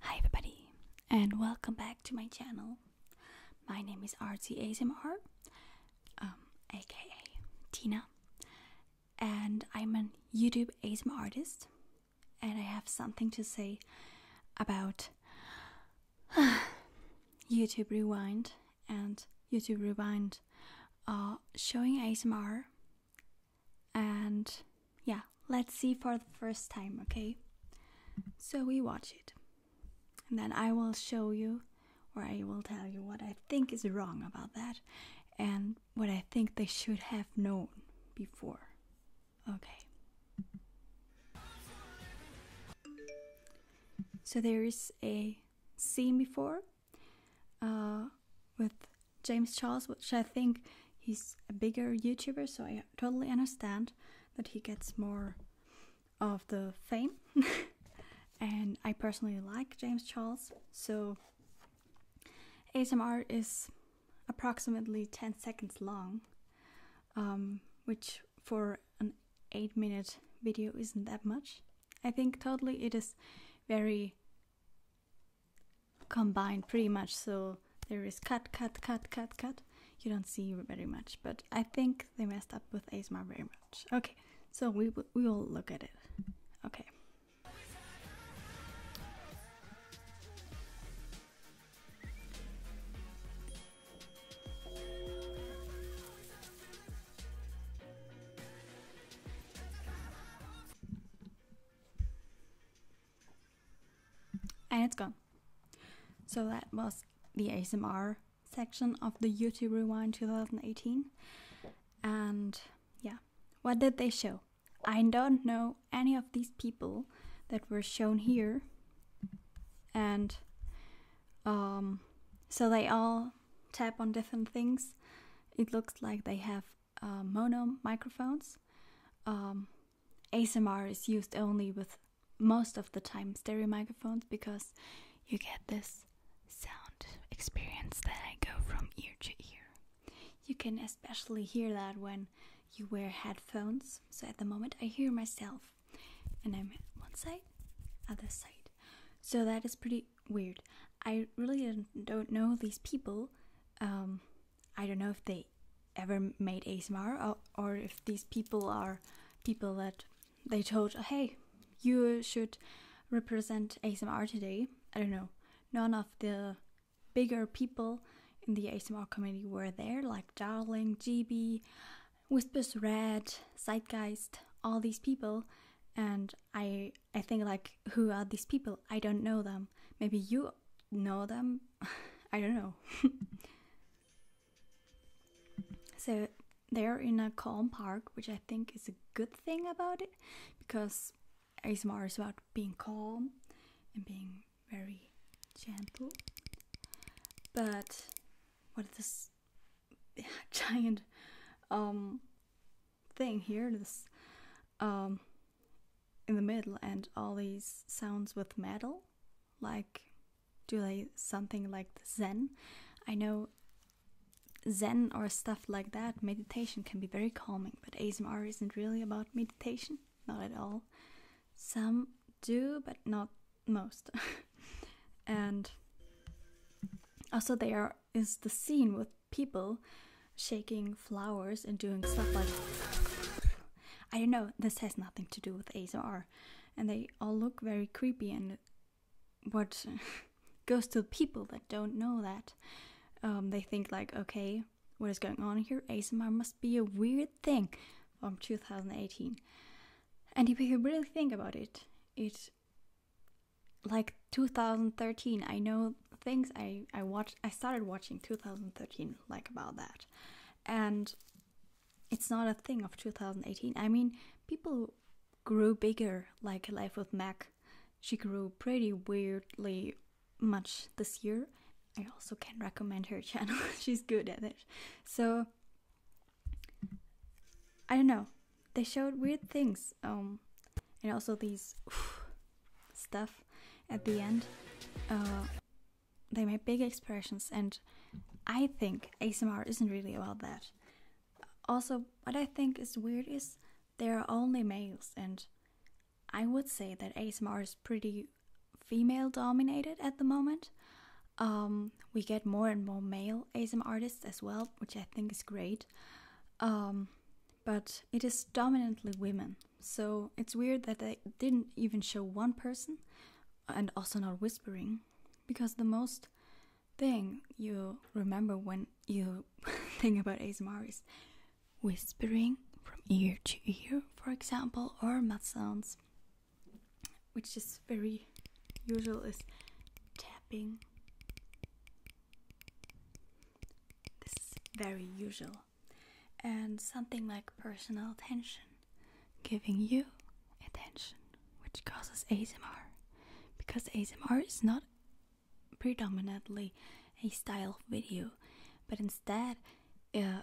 Hi everybody and welcome back to my channel. My name is RT ASMR, um, aka Tina, and I'm a YouTube ASMR artist and I have something to say about YouTube Rewind and YouTube Rewind uh, showing ASMR and yeah, let's see for the first time, okay? So we watch it. And then I will show you, or I will tell you what I think is wrong about that and what I think they should have known before. Okay. So there is a scene before uh, with James Charles, which I think he's a bigger YouTuber, so I totally understand that he gets more of the fame. and I personally like James Charles, so ASMR is approximately 10 seconds long, um, which for an 8 minute video isn't that much. I think totally it is very combined pretty much. So there is cut, cut, cut, cut, cut. You don't see very much, but I think they messed up with ASMR very much. Okay, so we, we will look at it. Okay. And it's gone. So that was the ASMR section of the YouTube Rewind 2018. And yeah, what did they show? I don't know any of these people that were shown here. And um, so they all tap on different things. It looks like they have uh, mono microphones. Um, ASMR is used only with most of the time stereo microphones because you get this sound experience that I go from ear to ear. You can especially hear that when you wear headphones. So at the moment, I hear myself and I'm one side, other side. So that is pretty weird. I really don't know these people um, I don't know if they ever made ASMR or, or if these people are people that they told, hey, you should represent ASMR today. I don't know. None of the bigger people in the ASMR community were there, like Darling, GB, Whispers Red, Zeitgeist, all these people. And I I think like who are these people? I don't know them. Maybe you know them. I don't know. so they're in a calm park, which I think is a good thing about it because ASMR is about being calm and being very gentle. But what is this giant um, thing here, this um, in the middle, and all these sounds with metal, like do they something like Zen? I know Zen or stuff like that, meditation can be very calming, but ASMR isn't really about meditation, not at all. Some do, but not most. and also, they are is the scene with people shaking flowers and doing stuff like I don't know, this has nothing to do with ASMR. And they all look very creepy and what goes to people that don't know that. Um, they think like, okay, what is going on here? ASMR must be a weird thing from 2018. And if you really think about it, it like 2013 i know things i i watched i started watching 2013 like about that and it's not a thing of 2018 i mean people grew bigger like life with mac she grew pretty weirdly much this year i also can recommend her channel she's good at it so i don't know they showed weird things. Um, and also these stuff at the end. Uh, they made big expressions, and I think ASMR isn't really about that. Also, what I think is weird is there are only males, and I would say that ASMR is pretty female dominated at the moment. Um, we get more and more male ASMR artists as well, which I think is great. Um, but it is dominantly women. So it's weird that they didn't even show one person, and also not whispering, because the most thing you remember when you think about ASMR is whispering from ear to ear, for example, or mouth sounds, which is very usual, is tapping, this is very usual. And something like personal attention, giving you attention, which causes ASMR. Because ASMR is not predominantly a style of video, but instead uh,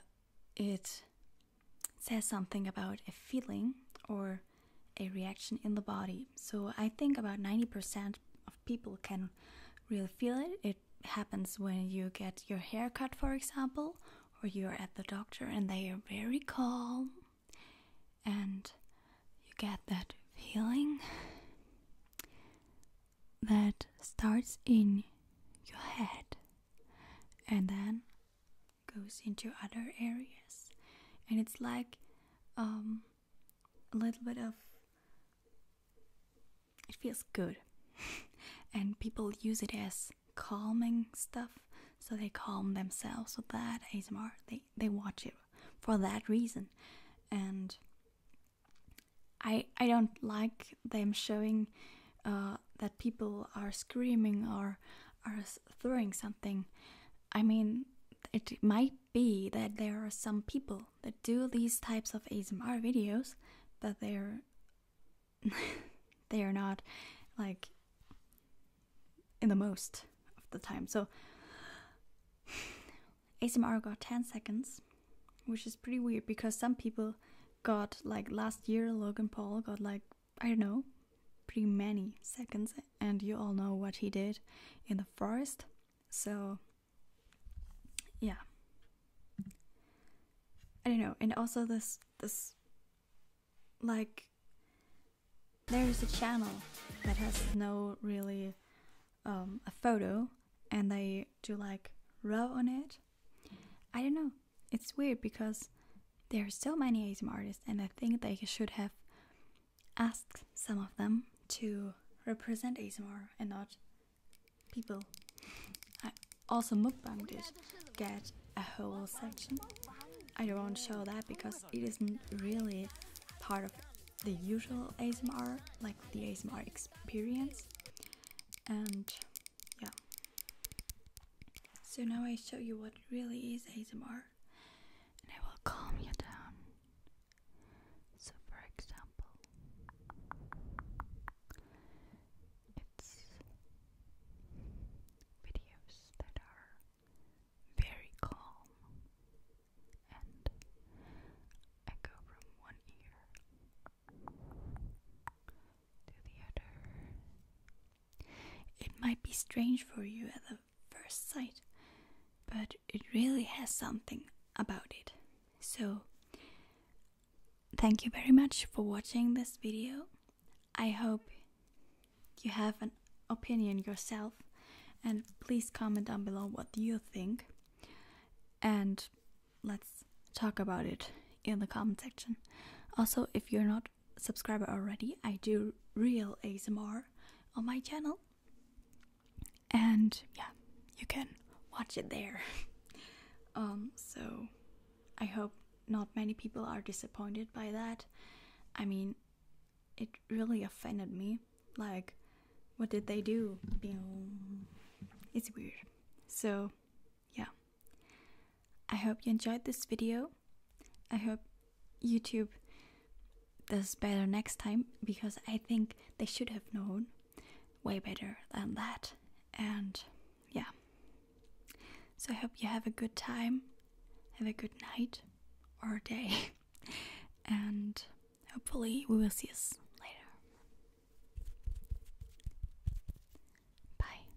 it says something about a feeling or a reaction in the body. So I think about 90% of people can really feel it. It happens when you get your hair cut, for example, or you're at the doctor and they are very calm and you get that feeling that starts in your head and then goes into other areas and it's like um, a little bit of it feels good and people use it as calming stuff so they calm themselves with that asmr they, they watch it for that reason and i i don't like them showing uh, that people are screaming or are throwing something. I mean, it might be that there are some people that do these types of ASMR videos, but they're they are not like in the most of the time. So ASMR got 10 seconds, which is pretty weird because some people got like last year Logan Paul got like I don't know, pretty many seconds and you all know what he did in the forest. So, yeah, I don't know. And also this this like there is a channel that has no really um, a photo, and they do like rub on it. I don't know. It's weird because there are so many ASM artists, and I think they should have asked some of them to represent ASMR and not people. I also mukbang did get a whole section. I don't show that because it isn't really part of the usual ASMR, like the ASMR experience. And yeah. So now I show you what really is ASMR and will calm you down. So, for example, it's videos that are very calm, and I from one ear to the other. It might be strange for you at the first sight, but it really has something about it. So, thank you very much for watching this video. I hope you have an opinion yourself and please comment down below what you think and let's talk about it in the comment section. Also, if you're not subscriber already, I do real ASMR on my channel, and yeah, you can watch it there. um, so I hope not many people are disappointed by that. I mean, it really offended me. Like, what did they do? It's weird. So, yeah. I hope you enjoyed this video. I hope YouTube does better next time because I think they should have known way better than that. And yeah. So I hope you have a good time, have a good night or day, and hopefully we will see us later. Bye.